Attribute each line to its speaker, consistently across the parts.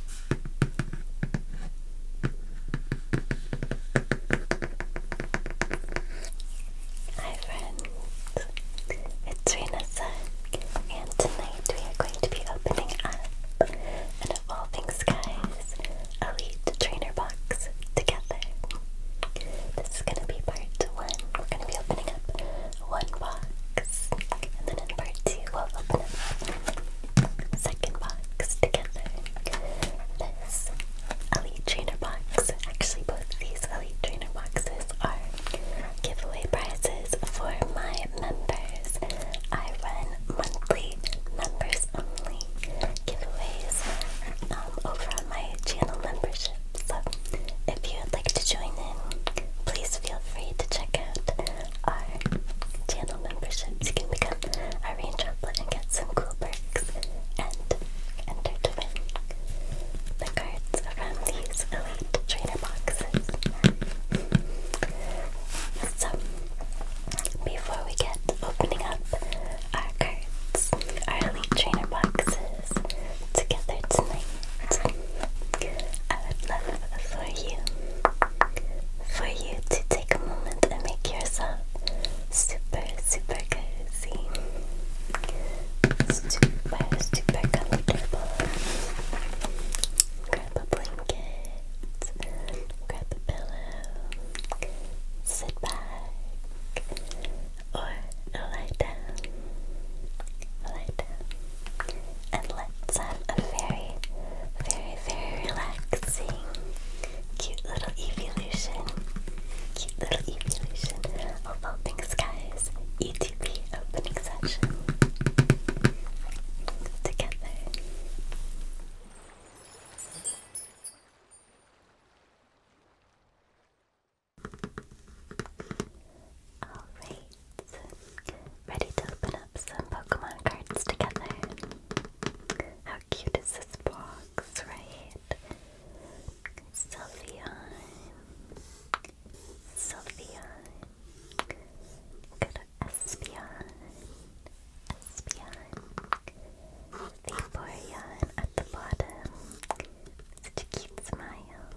Speaker 1: Hi friends, it's Rena Sun, and tonight we are going to be opening up an Evolving Skies Elite Trainer Box together. This is going to be part one. We're going to be opening up one box, and then in part two we'll open up second box together. This Elite Trainer box. Actually, both these Elite Trainer boxes are giveaway prizes for my members. I run monthly members only giveaways um, over on my channel membership. So if you would like to join in, please feel free to check out our channel memberships, you can become a rain and get some cool perks and enter to win the cards from these elite trainer boxes. So, before we get opening up our cards, our elite trainer boxes together tonight, I would love for you for you to take a moment and make yourself super, super cozy, super, super comfortable. Grab a blanket, grab a pillow, sit back, or lie down. Lie down and let's have a very, very, very relaxing, cute little evolution. Cute little evolution of Opening Skies ETP opening session together. Alright, ready to open up some Pokemon cards together. How cute is this box, right? Sylveon. Sylveon. Got Espeon. Espeon. Vaporeon at the bottom. Such a cute smile.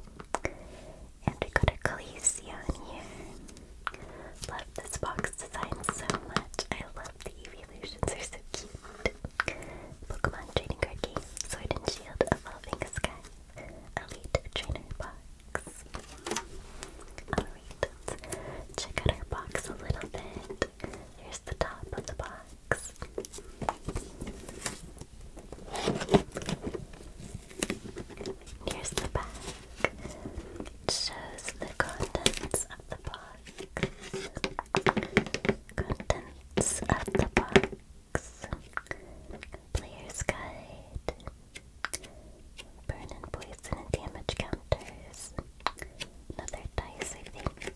Speaker 1: And we got a Coliseo here. Love this box design so much. I love the evolutions, they're so cute. Pokemon Trading Card Game, Sword and Shield, Evolving Sky, Elite Trainer Box. Alright, check out our box a little bit. Here's the top of the box. Here's the back. It shows the contents of the box. Contents of the box. Player's guide. Burn poison and damage counters. Another dice, I think.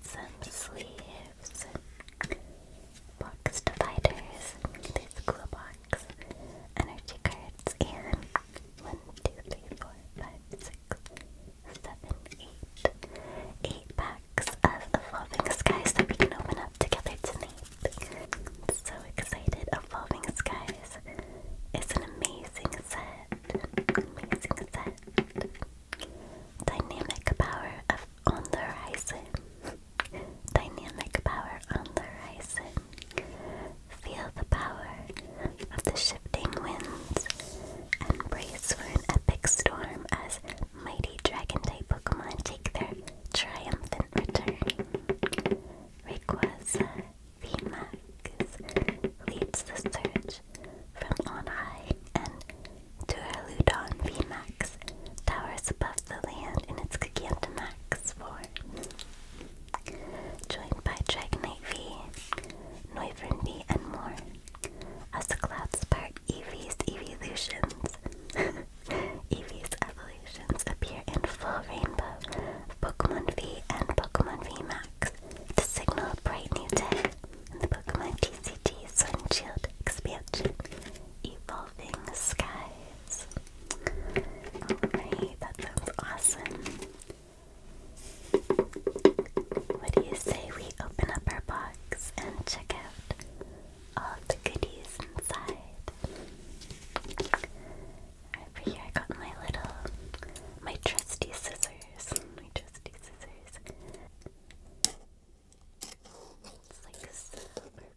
Speaker 1: Some sleeves. Box dividers. There's cool box box, energy cards, and 1, packs of Evolving Skies that we can open up together tonight. so excited. Evolving Skies is an amazing set. Amazing set. Dynamic power of On the Horizon dynamic power on the horizon. Feel the power of the shifting winds brace for an epic storm as mighty dragon type Pokemon take their triumphant return. Rayquaza VMAX leads the surge from on high, and Duraludon VMAX towers above the land in its Gigantamax form. Joined by Dragonite V, Noivern V, and more. As the clouds part, Evie's evolutions, Eevee's evolutions appear in full rainbow Pokemon V and Pokemon V Max to signal a bright new day in the Pokemon TCG Sun Shield expansion, Evolving sky. Alright, that sounds awesome. What do you say we open up our box and check out all the goodies inside? Over here, I got my little, my trusty scissors. My trusty scissors. It's like so perfect.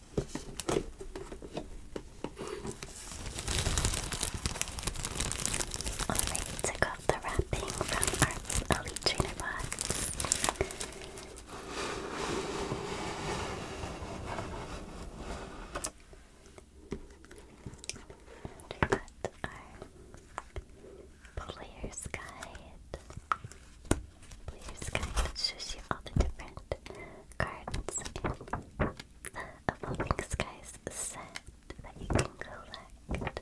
Speaker 1: Alright, took off the wrapping from our Elite Trainer box. And our player's guide. Player's guide shows you all the different cards of the Link Skies set that you can collect.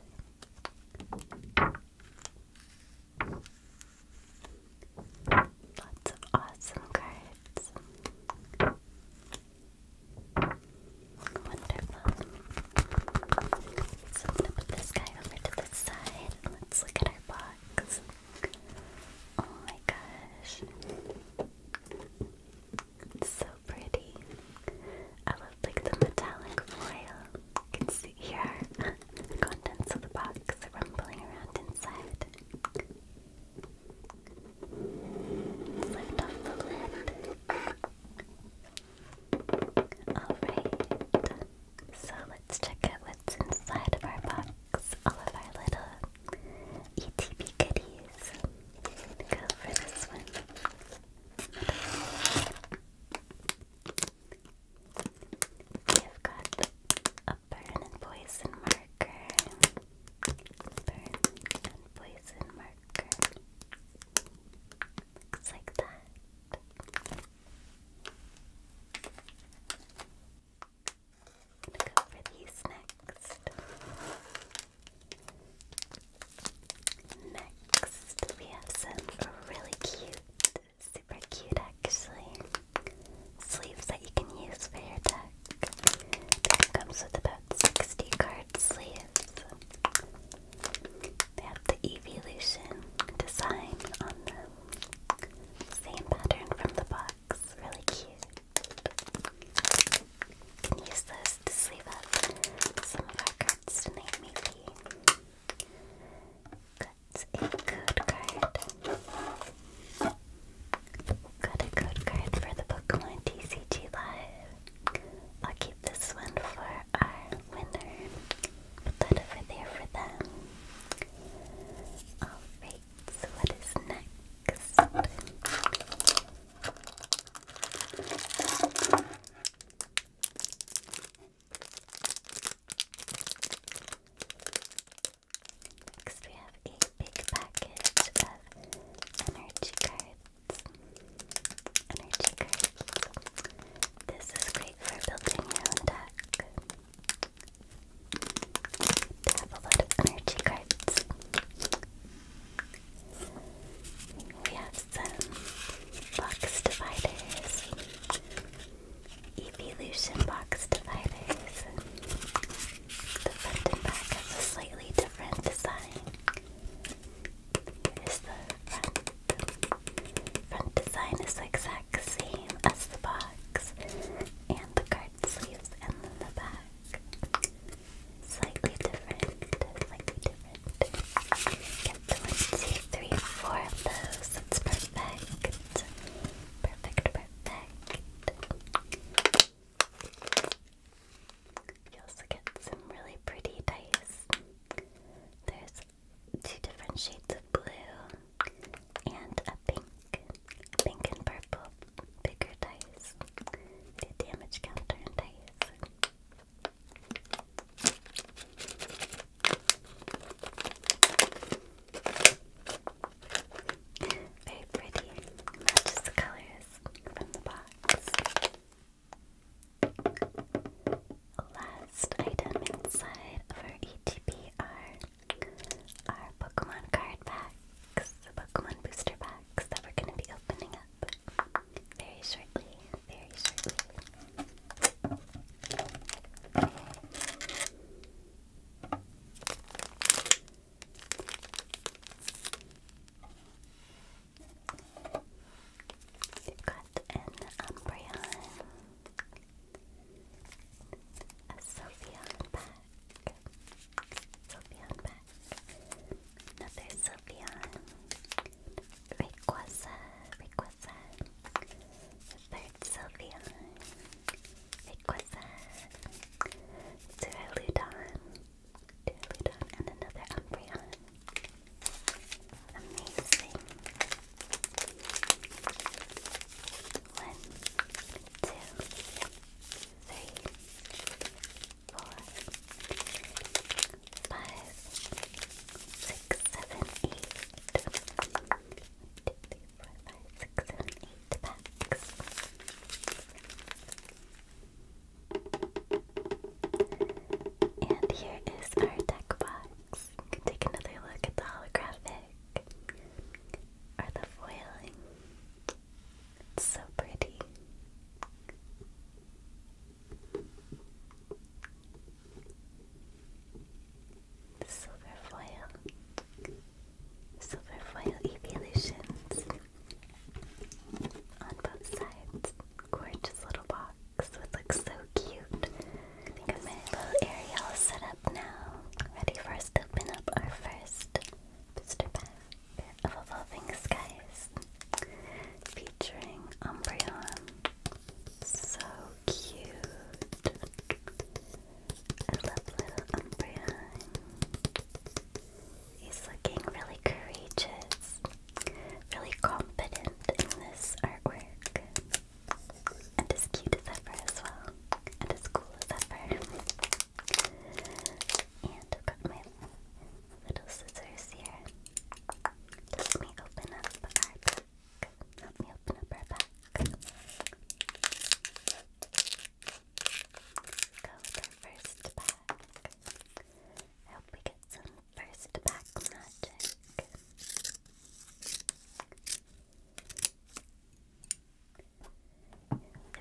Speaker 1: Lots of awesome cards. Wonderful. So I'm put this guy over to the side and let's look at our box. Oh my gosh. so pretty. I love like the metallic foil. You can see here the contents of the box rumbling around inside. lift off the lid. Alright. So let's check out what's inside of our box. All of our little ETB goodies. Go for this one. We have got a burn and poison marker. Burn and poison marker. Looks like that to go for these next. Next, we have some really cute, super cute actually, sleeves that you can use for your deck. comes with about 60 card sleeves. They have the Evolution design on them. Same pattern from the box, really cute. Use this to sleeve up some of our cards maybe. Got a code card. Got a code card for the Pokemon TCG Live. I'll keep this one for our winner. Put that over there for them. Alright so what is next? Next, we have a big package of energy cards. Energy cards. This is great for building your own deck. They have a lot of energy cards. We have some box dividers, evolution box dividers. The front and back have a slightly different design. Here's the front. Front design is the exact same as the box, and the card sleeves and then the back. Slightly different, slightly different. Get one, two, three, four of those. That's perfect. Perfect, perfect. You also get some really pretty dice. There's two different shades of blue and a pink pink and purple, bigger dice, the damage counter and dice. Very pretty, matches the colors from the box. Last item inside of our ETB are our Pokemon card packs, Pokemon booster packs that we're going to be opening up very shortly. Very shortly. We've got an Umbreon, a Sylveon pack, Sylveon back. Another Sylveon. Rayquaza, Rayquaza. Third Sylveon. Rayquaza. Duraludon. Duraludon and another Umbreon. Amazing. One, two, three, four, five, six, seven, eight. One, two, three, four, five, six, seven, eight packs. And here is our deck box. take another look at the holographic or the foiling. It's so pretty. Silver foil. Silver foil evolutions. On both sides. Gorgeous little box. looks so cute. I think my little area set up now. Ready for us to open up our first booster pack of Evolving Skies featuring Umbreon. So cute. I love little Umbreon. He's looking really courageous, really confident in this artwork. And as cute as ever as well and as cool as ever. And I've got my little scissors here. Let me open up our pack. Let me open up our pack. Go with our first pack. I hope we get some first pack magic. It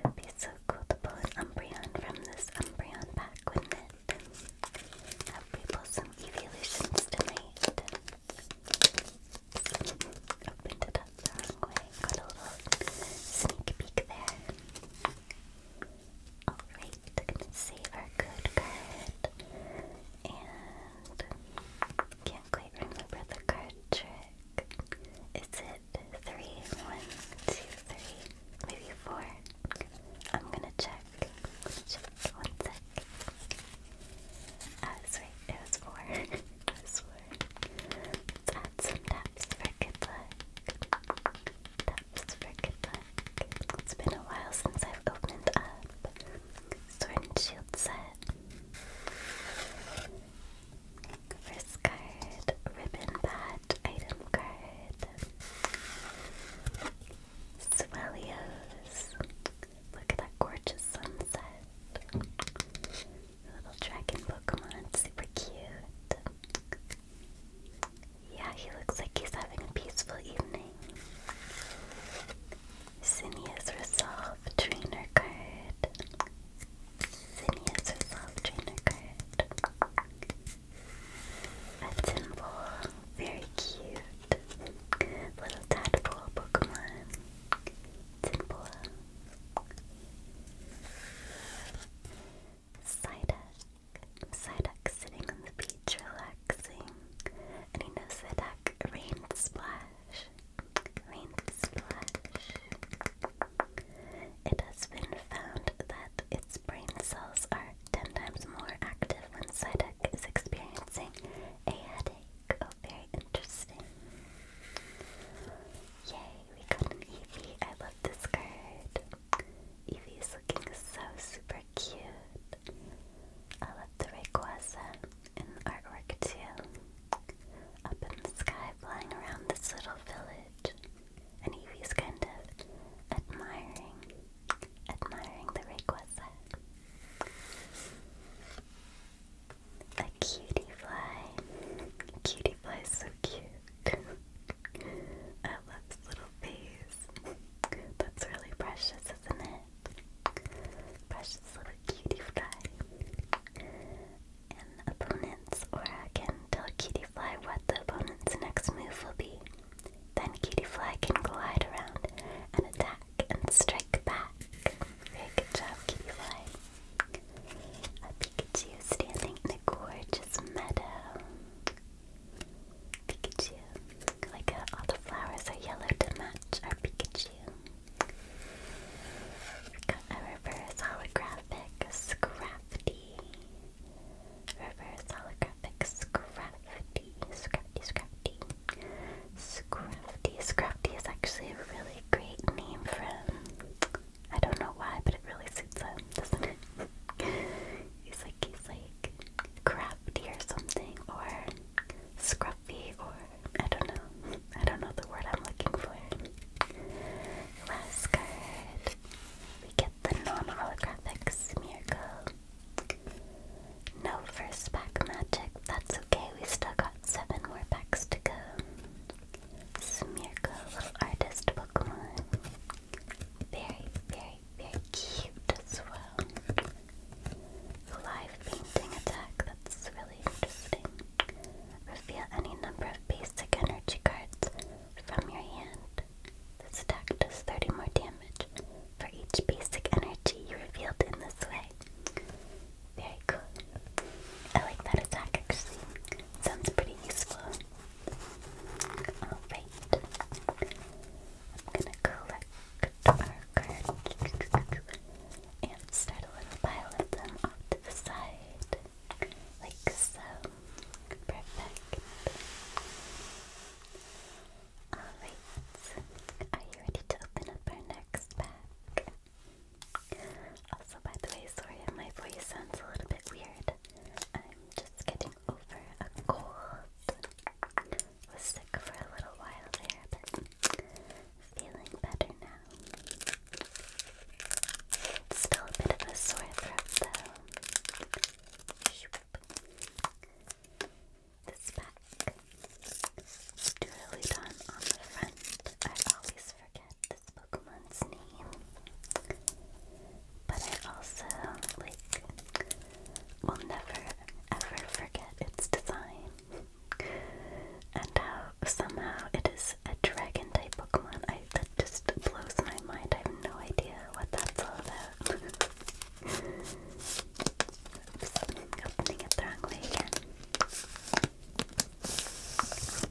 Speaker 1: would be so cool to pull an Umbreon from this Umbreon pack, wouldn't it? Have we some Evolutions tonight? Opened it up the wrong way. Got a little sneak peek there. Alright, save our code card. And can't quite remember the card trick. Is it three, one, two, three, maybe four. I'm gonna check. Check one sec. Ah, that's It it was four. Let's add some taps for good luck. Taps for good luck. It's been a while since I've opened up Sword and Shield set. Wrist card, ribbon patch, item card. Swellios. Look at that gorgeous sunset. Little dragon Pokemon, super cute. Yeah, he looks like he's having a peaceful evening. Zinnia's Resolve Trainer card. Phineas's Love Trainer A Timble, very cute. Little tadpole Pokemon. Timble. Psyduck. Psyduck sitting on the beach relaxing. And he knows that duck rain splash. Green splash. It has been found that its brain cells are 10 times more active when Psyduck is experiencing a headache. Oh, very interesting. Yay, we got an I love this card. Eevee is looking so super cute. I love the Rayquaza in the artwork too up in the sky flying around this little village. And Evie's kind of admiring, admiring the Rayquaza. A cutie fly. Cutie fly so cute. I love this little face. That's really precious, isn't it? Precious little cutie fly an opponent's aura can tell Cutiefly what the opponent's next move will be. Then Cutiefly can glide around and attack and strike back. Very good job, Cutiefly. A Pikachu standing in a gorgeous meadow. Pikachu. Like all the flowers are yellow to match our Pikachu. Got a reverse holographic Scrafty. Reverse holographic Scrafty. Scrafty, Scrafty. Scrafty. Scrafty is actually a really great name for him. I don't know why, but it really suits him, doesn't it? he's like, he's like crafty or something, or scruffy, or I don't know. I don't know the word I'm looking for. Last card. We get the non-holographic Smeargle. No first pack magic. That's okay. We still got seven more packs to go. Smeargle, artist Pokemon. Very, very, very cute as well. Live painting attack. That's really interesting. Reveal any number of basic energy cards from your hand. This attack does 30 more damage for each basic energy you revealed in this way. Very cool. I like that attack actually. Sounds pretty useful. Alright. I'm gonna collect our cards and start a little pile of them off the side, like so. Perfect. Alright, are you ready to open up our next pack? Also, by the way, sorry my voice sounds a little bit weird. I'm just getting over a cold. Was sick for a little while there, but Feeling better now. Still a bit of a sore throat though. This back. Duraludon on the front. I always forget this Pokemon's name. But I also, like, will never ever forget its design. And how somehow it is a dragon type Pokemon. I, that just blows my mind. I have no idea what that's all about. opening it wrong way again.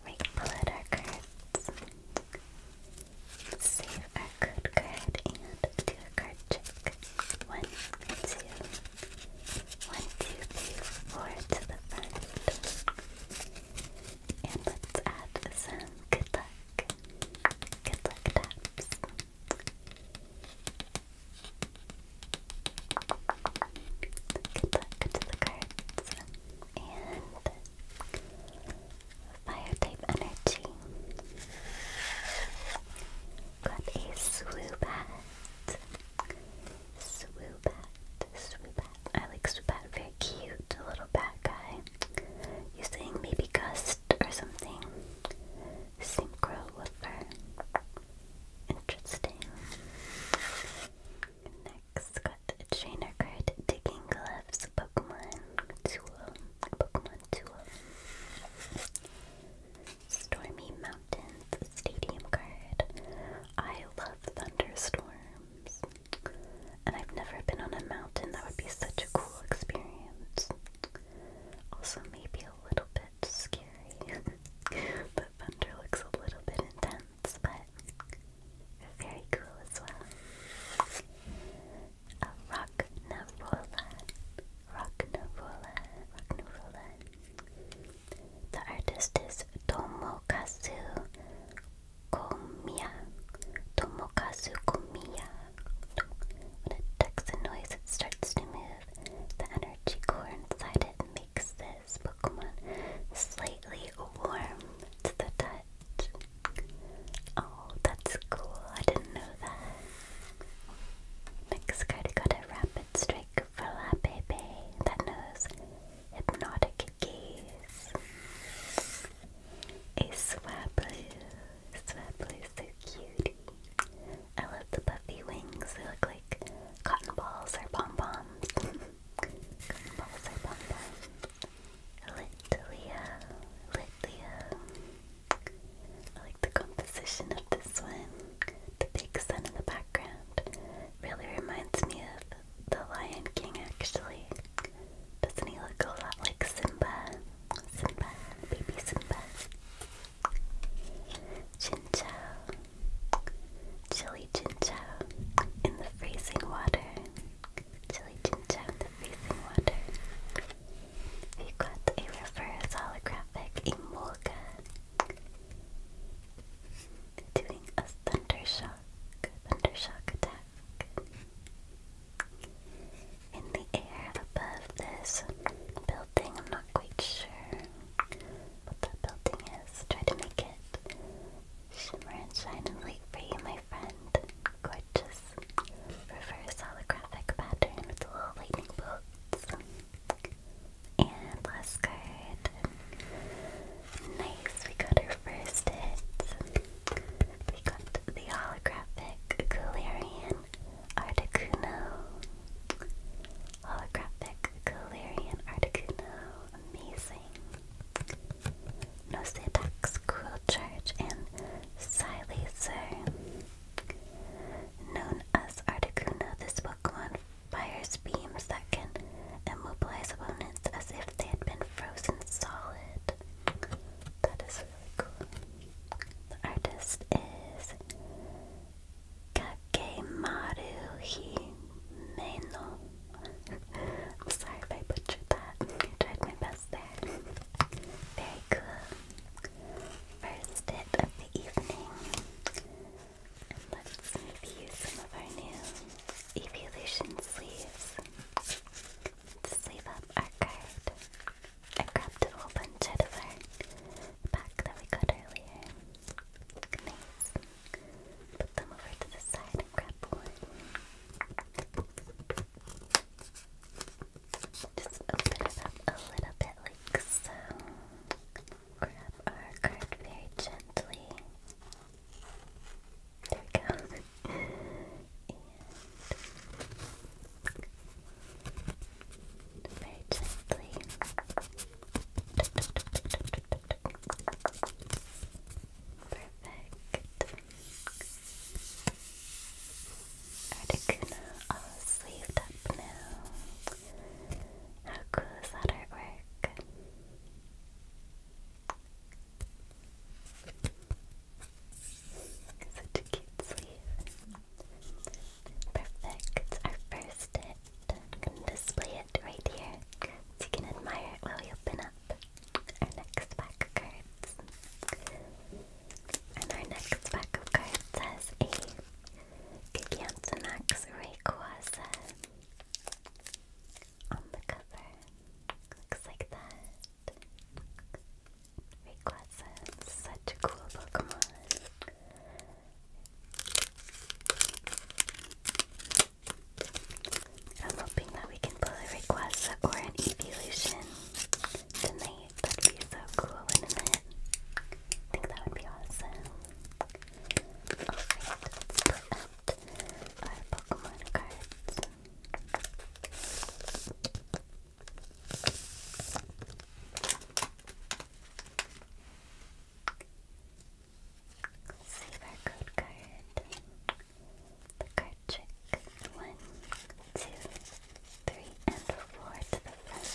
Speaker 1: We pull out our cards. Save our good card and do a card check. One, two, one, two, three, four to the front. And let's add some good luck. Good luck taps. Good luck to the cards. And fire type energy. Got a swoop hat. Swoobat, Swoobat. I like Swoobat, very cute, little bat guy. You're saying maybe Gust or something. Synchro Woofer. Interesting. Next, got trainer card, Digging Gloves, Pokemon Tool, Pokemon Tool. Stormy Mountains Stadium card. I love thunderstorms. And I've never been on a mountain. That would be such a cool experience. Also, maybe a little bit scary. but thunder looks a little bit intense, but very cool as well. A rock navola. The artist is Tomokazu Komiya. Tomokazu Komiya. When it detects a noise, it starts to move. The energy core inside it makes this Pokemon slightly warm to the touch. Oh, that's cool. I didn't know that. Next got a Rapid Strike for La Bebe. That knows Hypnotic Gaze. A Swablu. Swablu's so cutie. I love the puffy wings. They look like cotton balls or pom-poms. cotton balls or pom-poms. Litlia. Litlia. I like the composition of this one. The big sun in the background. Really reminds me of The Lion King, actually. Doesn't he look a lot like Simba? Simba, baby Simba. Chinchou. Chili chinchou in the freezing water. Chili chinchou in the freezing water. we got a reverse holographic Emolga doing a thunder shock, thunder shock attack. In the air above this building, I'm not quite sure what that building is. Try to make it shimmer and shine and light for you, my friend. Gorgeous reverse holographic pattern with little lightning bolts. And last card. Nice, we got our first hit. We got the holographic Galarian Articuno. Holographic Galarian Articuno. Amazing. Nosetax Cruel Charge and Silacer. Known as Articuno, this Pokemon fires beams that can immobilize opponents as if they had been frozen solid. That is really cool. The artist is Kakemaru Himeno. I'm sorry if I butchered that. tried my best there. Very cool. First hit of the evening let's maybe some of our new evolution sleeves to sleeve up our card. I grabbed a whole bunch out of our pack that we got earlier. Nice. Put them over to the side grab one. Just open it up a little bit like so grab our card very gently. There we go. very gently. Perfect. Articuno all sleeved up now. How cool is that artwork? Such a cute sleeve. Perfect. Our first hit. I'm display it right here so you can admire it while we open up our next pack of cards. And our next pack of cards has a Gigantamax Rayquaza on the cover. Looks like that. Rayquaza, such a cool Pokemon. I'm hoping that we can pull a Rayquaza or an Evolution tonight. That'd be so cool, wouldn't it? I think that would be awesome. Alright, let's put out our Pokemon cards. Save card. The card trick. One, two, three, and four to the left.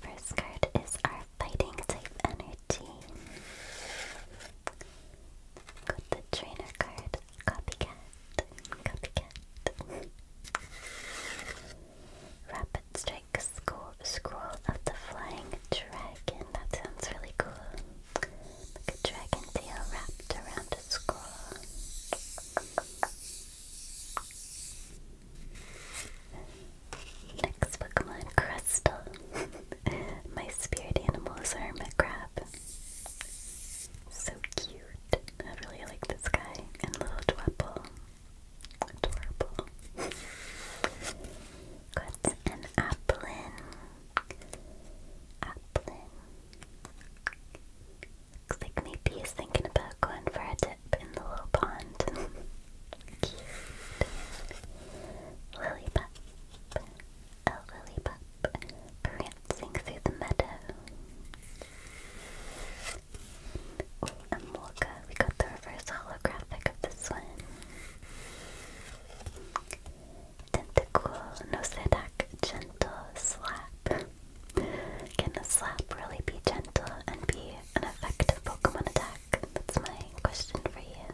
Speaker 1: First card is our fighting type energy. Got the trainer card, copycat, copycat. Rapid Rapid Strike Scroll, of the Flying Dragon. That sounds really cool. a dragon tail wrapped around a scroll. Next Pokemon, Crystal. My spirit animal is Hermit Crab. So cute. I really like this guy. And Little Dwepple. Adorable. Got an Apple Applin. Looks like maybe he's thinking about going for a dip in the little pond. Cute. Lillipup. A lillipup prancing through the meadow. Oh, we got the reverse holographic of this one. Tentacool, no sedak, gentle slap. Can a slap really be gentle and be an effective Pokemon attack? That's my question for you.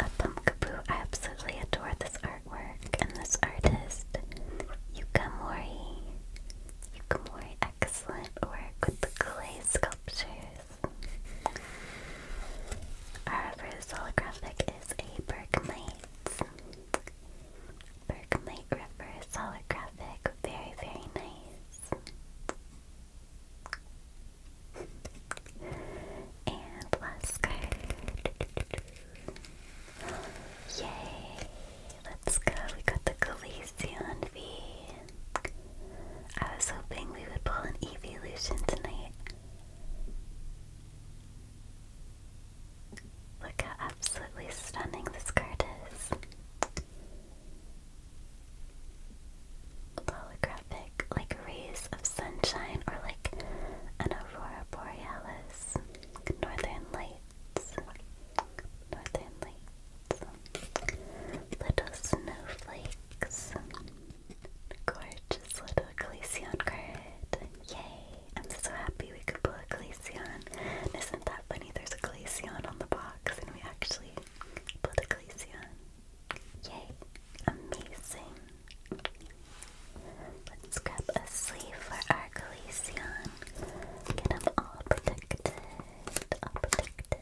Speaker 1: A Pumpkaboo, I absolutely adore this artwork and this artist. Yukamori. Yukamori X excellent work with the clay sculptures. Our first holographic is a Bergmite. Bergmite reverse holographic. Very, very nice. and last card. Yay! Let's go. We got the Galician V. I was hoping we would pull an evolution tonight. Look how absolutely stunning this card is. Holographic, like rays of sunshine or like an aurora borealis, northern light northern lights, little snowflakes, gorgeous little Glaceon Yay! I'm so happy we could pull a Glaceon. Isn't that funny? There's a Glaceon on the box, and we actually pulled a Glaceon. Yay! Amazing! Let's grab a sleeve for our Glaceon. Get them all protected are protected.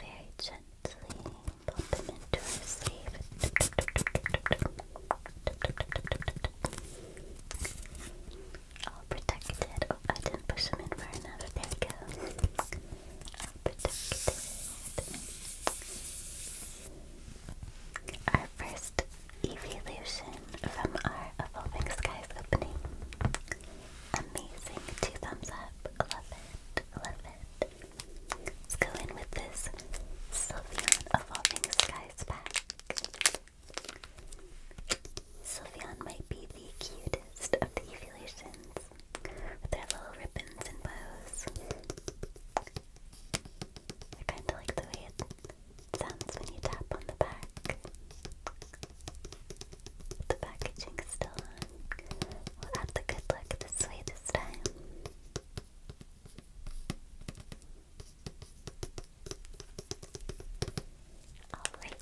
Speaker 1: Very gently popping into her sleeve. All protected. Oh, I didn't push them in far enough. There we go. All protected. Our first Evolution from our Evolving Skies opening. Amazing. Two thumbs up. Love it. Love it. Let's go in with this Sylveon Evolving Skies pack. Sylveon might be the cutest of the evolutions with their little ribbons and bows. I kind of like the way it sounds when you tap on the back. The packaging is still on. We'll add the good luck this way this time. Alright,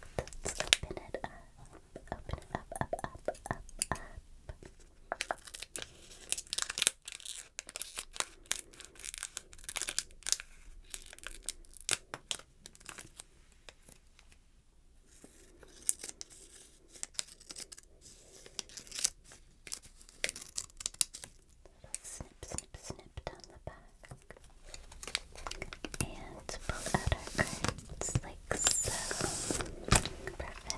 Speaker 1: let's open it up. Open it up, up, up, up, up snip, snip, snip down the back. And pull out our cards like so. Perfect.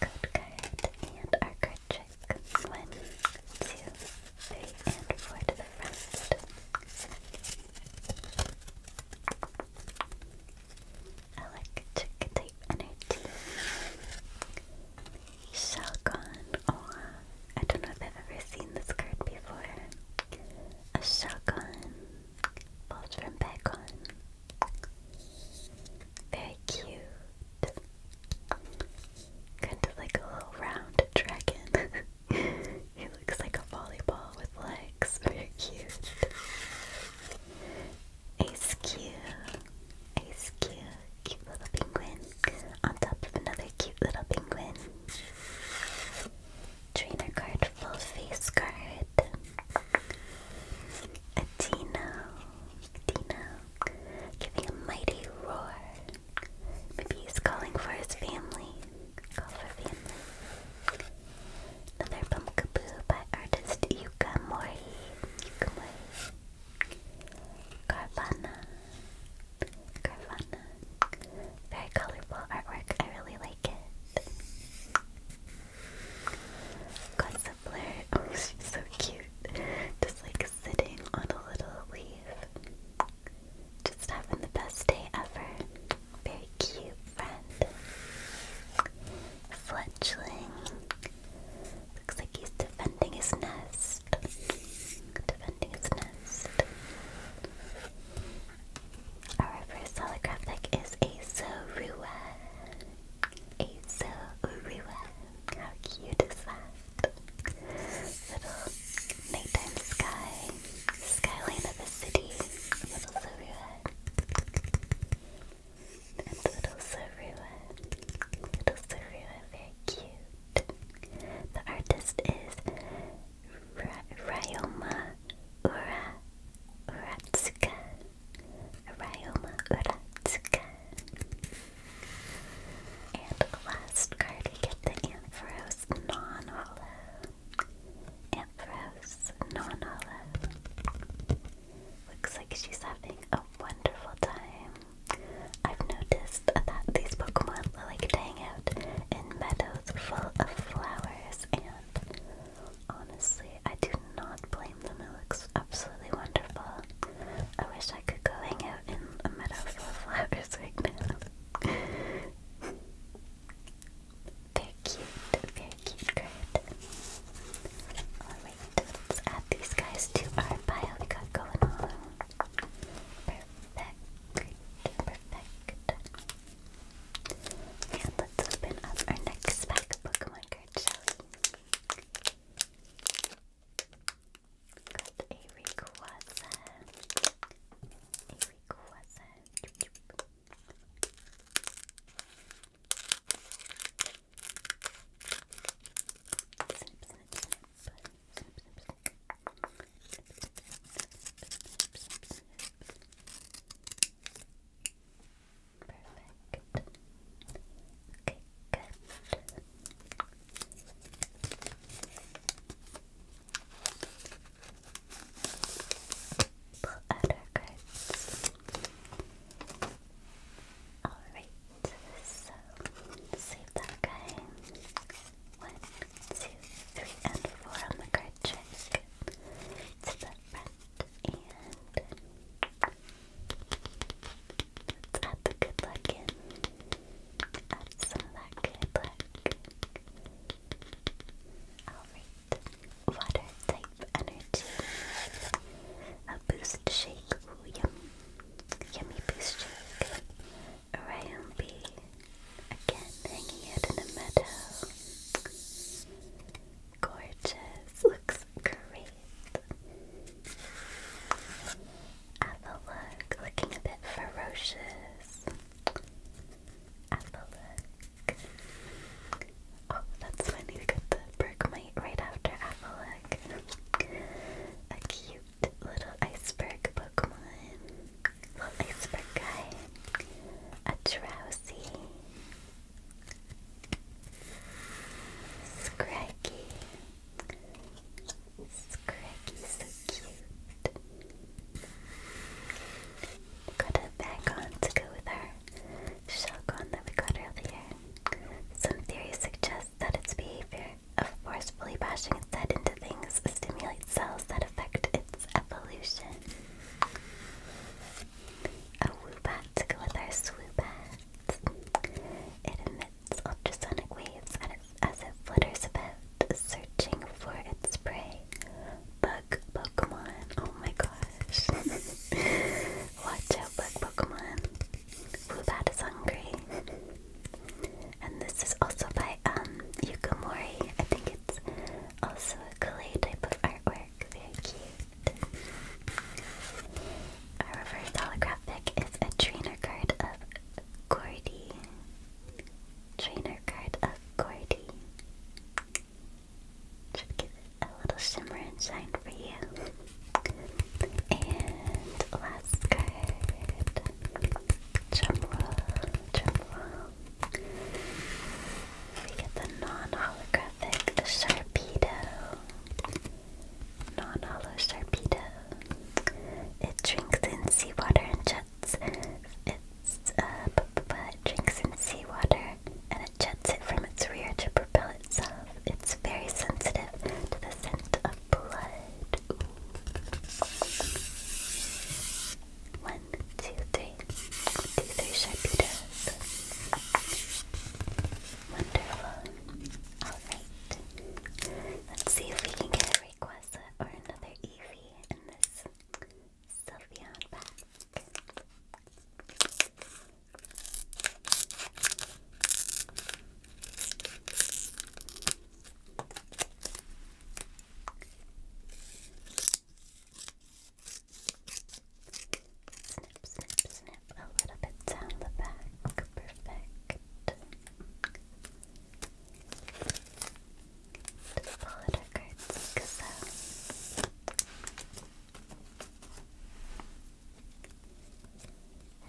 Speaker 1: Code card and our card trick click. One, two, three, and four to the front. Electric type energy. Shelgon. Oh, I don't know if I've ever seen this card before. A Shelgon. Falls from Bagon. Very cute. Kind of like a little round dragon. he looks like a volleyball with legs. Very cute. Ace Q. Ace Q. Cute little penguin. On top of another cute little penguin. Trainer card, full face card. A Dino. Dino. Giving a mighty roar. Maybe he's calling for his family. Call for family. Another Pumpkaboo by artist Yuka Mori. Carvana. Carvana. Very colorful artwork. I really like it. Gossipler. Oh, she's so cute. Just like sitting on a little leaf. Just having the best day ever. Very cute friend. Fletchling. Looks like he's defending his nest. Defending his nest. Our first holographic is Azorua. Azorua. How cute is that? Little nighttime sky, skyline of the city, little silhouette. little silhouette, little silhouette, very cute. The artist is Ra Ura Uratsuka. Ryoma Uratsuka. And last card, we get the Ampharos Non-Hollow. Ampharos Non-Hollow. Looks like she's having a wonderful time. I've noticed that these Pokemon like to hang out in meadows full of flowers, and honestly, I do not blame them. It looks absolutely wonderful. I wish I could go hang out in a meadow full of flowers right now. Very cute, very cute card. Alright, let's add these guys to our pile we got going on. Perfect, perfect. And let's open up our next pack of Pokemon cards, Got a request. A request. Perfect. Okay, good. Pull out Alright, so save that guy. One, two, three, and four on the card trick. To the front Let's add the good luck in. Add some of that good luck. Alright. Water type energy. A boost shake. Ooh, yummy. boost shake. Ryombi. Again, hanging out in a meadow. Gorgeous. Looks great. Avalok, looking a bit ferocious. Avalok. Oh, that's funny, we got the Bergmite right after Avalok. A cute little iceberg Pokemon. Little iceberg guy. A drowsy. Scraggy. Scraggy's so cute. Got a bag on to go with our shotgun that we got earlier. Some theories suggest that its behavior of forcefully bashing its head into things stimulates cells that affect its evolution. A woobat to go with our swoobat. It emits its ultrasonic waves as it flutters about, searching for its prey. Bug Pokemon. Oh my gosh. Watch out, Bug Pokemon. Woobat is hungry. And this is also by um, Yukamori. I think it's also a Kalei type of artwork. Very cute. A reverse holographic is a trainer card of Gordy. Trainer card of Gordy. Should give it a little shimmer and shine for you. And last card. Drumroll, drumroll. We get the non-holographic Sharpedo non-hollow Sharpedo. It drinks in seawater and jets. It's, uh, it drinks in seawater and it jets it from its rear to propel itself. It's very sensitive to the scent of blood. Ooh. One, Wonderful. Alright. Let's see if we can get a request or another Eevee in this Sylveon pack. Snip, snip, snip a little bit down the back. Perfect. Just pull out our like so.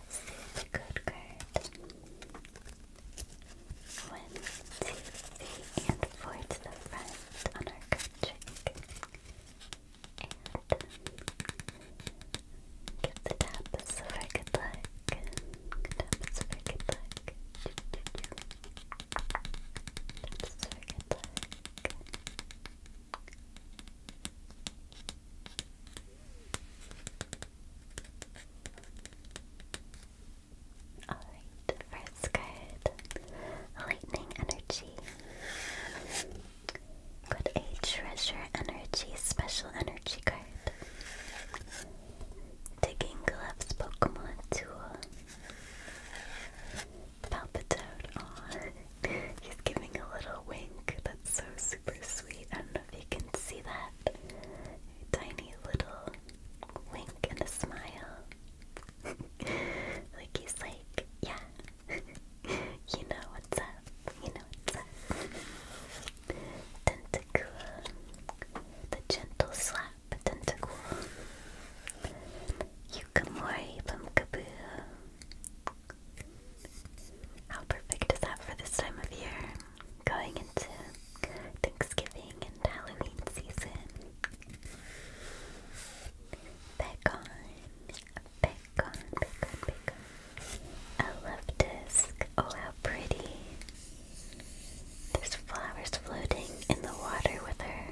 Speaker 1: see the good card. One, two, three, and four to the front on our card trick. And Give the taps a very good luck. Taps a very a very good luck. Alright, first card Lightning Energy. Got a treasure energy, special energy card. Digging gloves Pokemon tool. Palpitoad He's giving a little wink. That's so super sweet. I don't know if you can see that. tiny little wink and a smile. like he's like, yeah. you know what's up. You know what's up. Tentacool. The gentle slap tentacool. Yukamori from Kaboo. How perfect is that for this time of year? Going into Thanksgiving and Halloween season. Begone. Begone. Picon, love disc. Oh, how pretty. There's flowers floating in the water with her.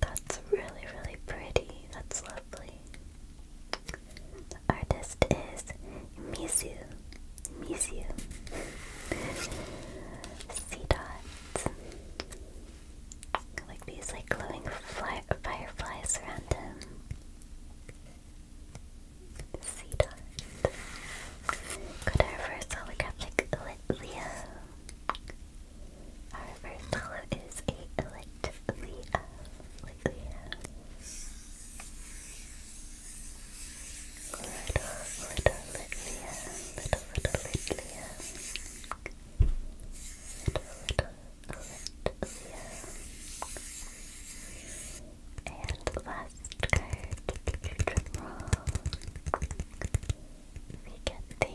Speaker 1: That's really, really pretty. That's lovely. The artist is Mizu. Mizu. Sea dots. Like these like glowing fireflies around him. Sea dart. our reverse holographic Lit Our reverse holo is a Lit Leo. Lit Leo. Little, little Lit Little, little little and last card, we get the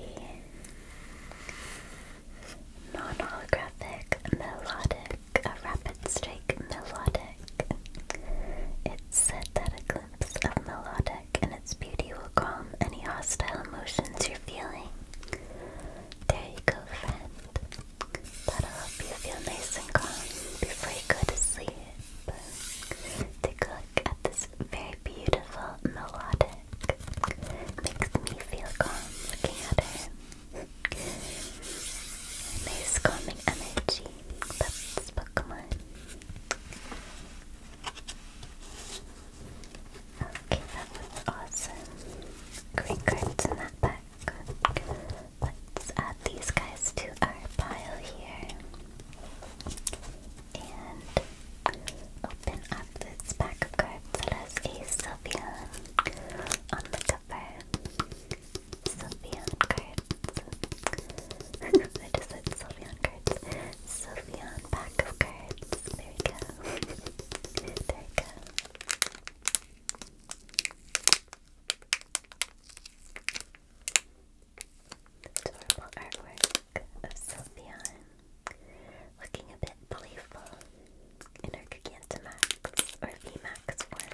Speaker 1: non-holographic melodic, rapid strike melodic. It's said that a glimpse of melodic and its beauty will calm any hostile emotions you're feeling. There you go, friend. That'll help you feel nice and calm before you go to sleep. Take a look at this very beautiful melodic. Makes me feel calm looking at her. Nice calming energy. That's Pokemon. Okay, that was awesome. Great cards in that pack. Let's add these guys to our pile here. And open up this pack of cards that has a Sylveon on the cover. Sylveon cards. I just said Sylveon cards. Sylveon pack of cards. There we go. there we go. Adorable artwork of Sylveon, looking a bit playful in her Gigantamax or VMAX form.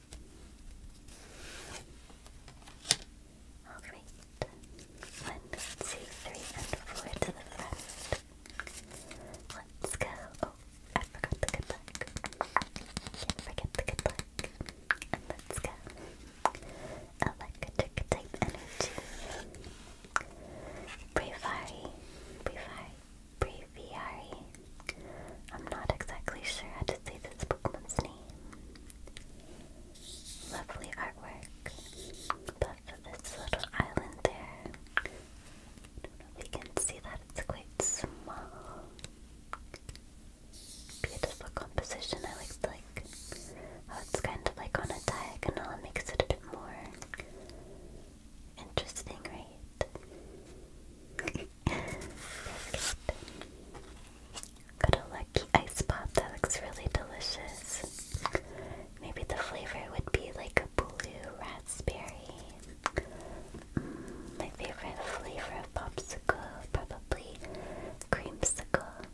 Speaker 1: Alright, one, two, three, and four to the front. Let's go. Oh, I forgot the good luck. Can't the good luck. let's go. Electric type energy. Bravari. Bravari. Braviary. I'm not exactly sure how to say this Pokemon's name. Lovely artwork. But for this little island there, I can see that it's quite small. Beautiful composition. I like the, like how it's kind of like on a diagonal. makes it a bit more interesting, right? Got a lucky ice pop that looks really delicious. Maybe the flavor would be like a blue raspberry. Mm, my favorite flavor of popsicle, probably creamsicle.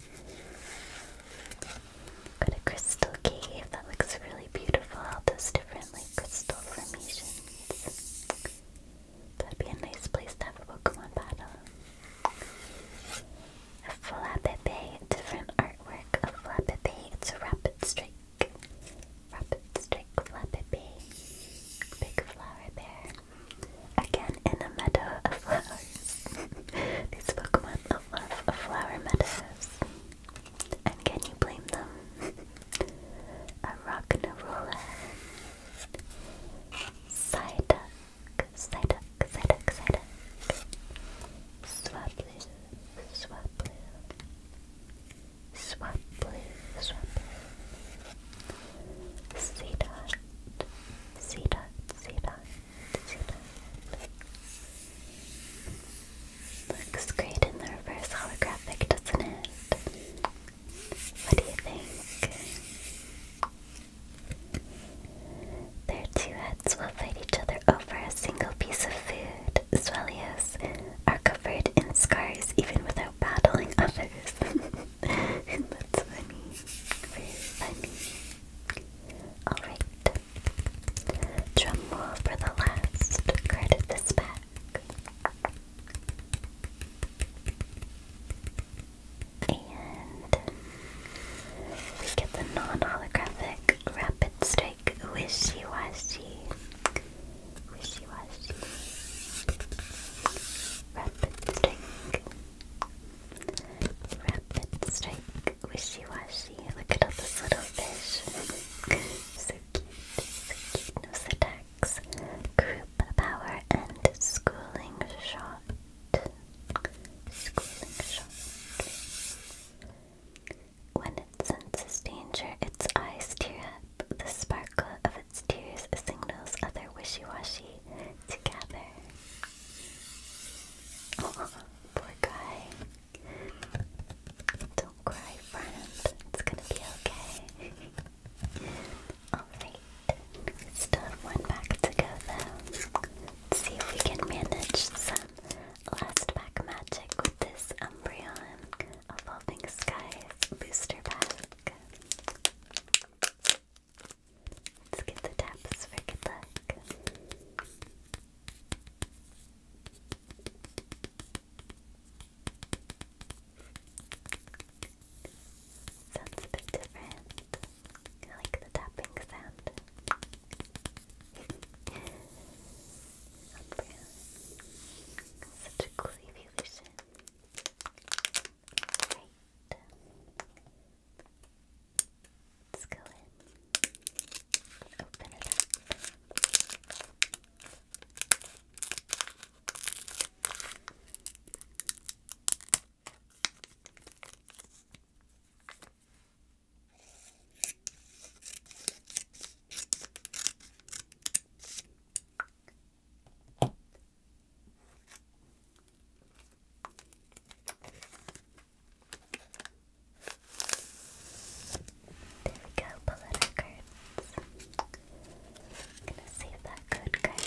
Speaker 1: Got a crystal cave that looks really beautiful. All those different like crystal formations. That'd be a nice place to have a Pokemon battle. A Flappiday, different artwork of Flappiday. It's a rapid strike. Rapid strike Flappiday. Big flower there. Again, in a meadow of flowers. These Pokemon love flower meadows. And can you blame them? a Rock'n'Rolla. Psyduck. Psyduck, Psyduck, Psyduck. C Swablu. C Swablu. C Seedot, C Seedot. Looks great in the reverse holographic, doesn't it? What do you think? Their two heads will fight each other over a single piece of food. Swellios are covered in scars even without battling others. That's funny. Very funny. Alright. Drumroll for the last card this pack. And we get the non-holographic rapid strike wishy-washy. Wishy-washy. Rapid strike. Rapid strike wishy-washy. Look at all this little fish. so cute. So cute. No, sit Group Power, and Schooling Shot. When it senses danger, its eyes tear up. The sparkle of its tears signals other wishy-washy together. poor guy. Don't cry, friend. It's gonna be okay. Alright, still have one pack to go though. see if we can manage some last pack magic with this Umbreon Evolving Skies booster pack. Let's get the taps for good luck. Sounds a bit different. I like the tapping sound. Umbra. Such a cool evolution. Right. Let's go in. Open it up. There we go, Poletta cards. gonna save that code card.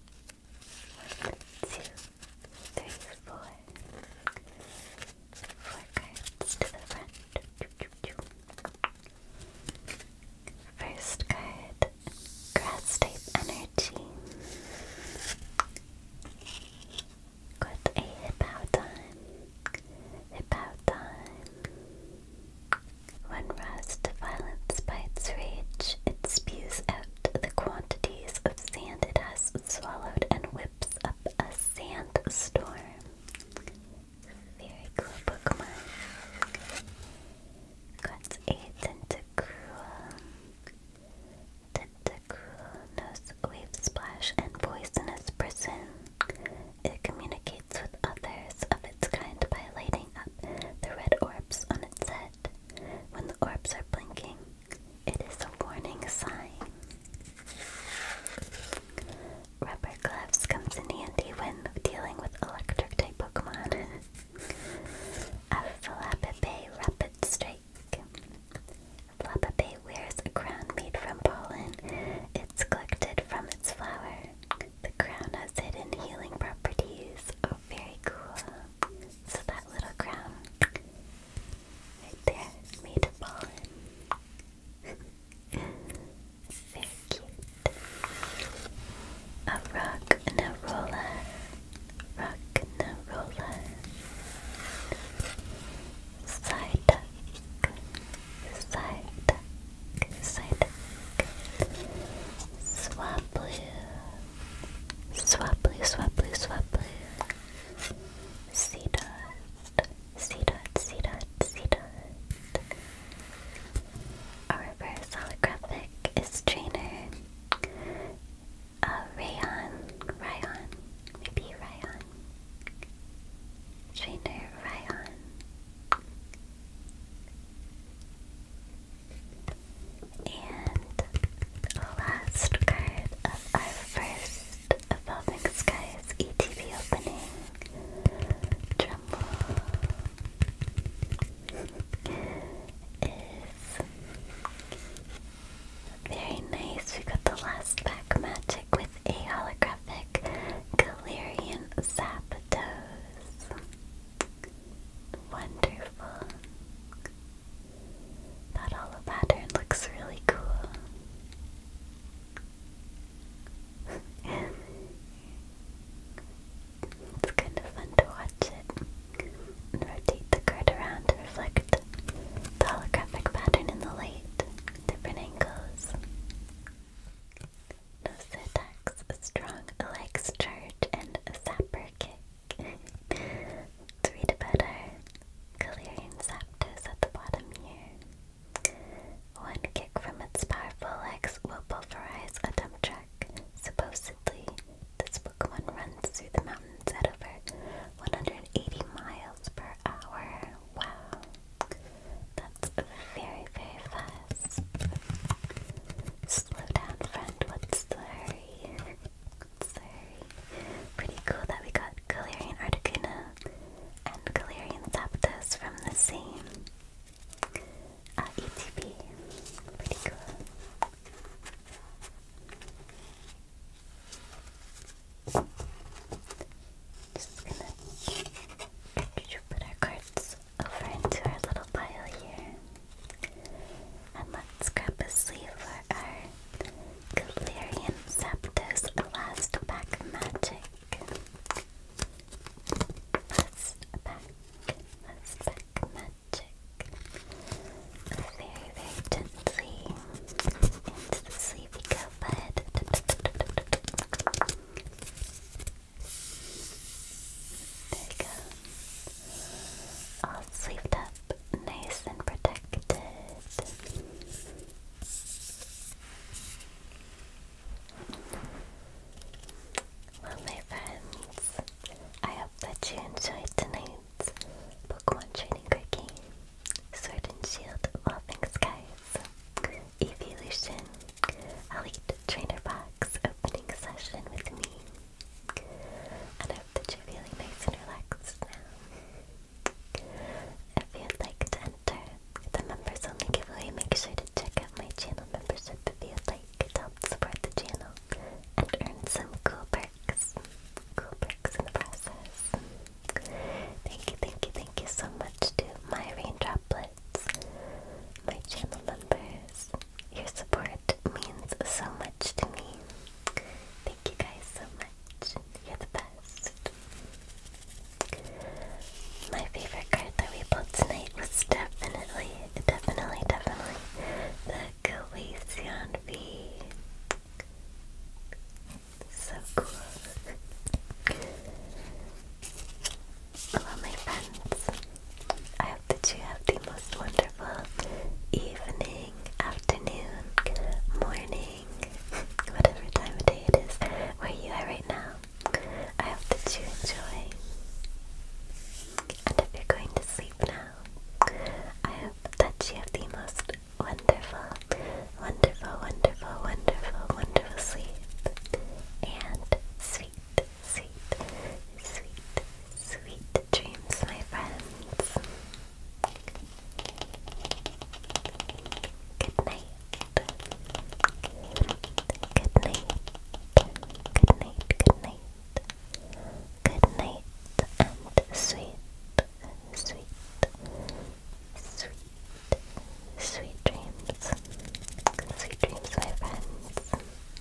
Speaker 1: One, two, three, four. Four cards to the front. First card, grass type energy. Got a Hippowdon, Hippowdon, when rust violence by its rage, it spews out the quantities of sand it has swallowed and whips up a sandstorm. Very cool Pokemon. Got a Tentacruel. Tentacruel knows Wave Splash and Poisonous Person. It communicates with others of its kind by lighting the red orbs on its head. When the orbs are blinking, it is a warning sign. Rubber gloves comes in handy when dealing with electric type Pokemon. Flappabay Rapid Strike. Flappabay wears a crown made from pollen. It's collected from its flower. The crown has hidden healing properties. Oh, very cool. So that little crown right there is made of pollen. very cute. A rock and a Rock and a Side duck. Side duck. Psyduck, Swablu, Swablu, Swablu, Swablu, Seedot, Seedot, Seedot, Seedot. A reverse holographic is trainer. A uh, Rayon, Rayon, maybe Rayon. Trainer Ryan. And the last card of our first Evolving Skies ETB opening. Drumroll. is very nice. We got the last pack magic with a holographic Galarian Zapdos. Wonderful. That hollow pattern looks really cool. it's kind of fun to watch it rotate the card around to reflect the holographic pattern in the light, different angles. Syntax, Strong Legs Charge, and Sapper Kick. let read about our Galarian Zapdos at the bottom here. One kick from its powerful legs will pulverize a dump truck. Supposedly, this Pokemon runs through the mountains at over 180 miles per hour. Wow. That's very, very fast. Slow down, friend. What's the What's the Pretty cool that we got Galarian Articuno and Galarian Zapdos from the same uh, Pretty cool. Just gonna put our cards over into our little pile here. And let's grab a sleeve for our Galarian Zapdos last pack magic. Last pack, last pack magic. Very, very gently into the sleeve we there you go. All sleeved up, nice and protected. Well, my friends, I hope that you enjoyed tonight's Pokemon Trading Card game, Sword and Shield Evolving Skies Evolution Elite Trainer Box opening session with me. I hope that you're feeling nice and relaxed now. If you'd like to enter the members only giveaway, make sure to check out my channel membership if you'd like to help support the channel and earn some cool perks. Cool perks in the process. Thank you, thank you, thank you so much to my raindroplet my channel members. Your support means so much to me. Thank you guys so much. You're the best. My favorite card that we pulled tonight was definitely, definitely, definitely the Galician V. So cool. Hello my friends. I hope that you have the most wonderful evening, afternoon, morning, whatever time of day it is where you are right now. I hope that you enjoy. And if you're going to sleep now, I hope that you have the most wonderful, wonderful, wonderful, wonderful, wonderful sleep. And sweet sweet, sweet, sweet, dreams, my friends. Good night. Good night. Good night. Good night. Good night and sweet, sweet, sweet, sweet dreams. Sweet dreams, my friends.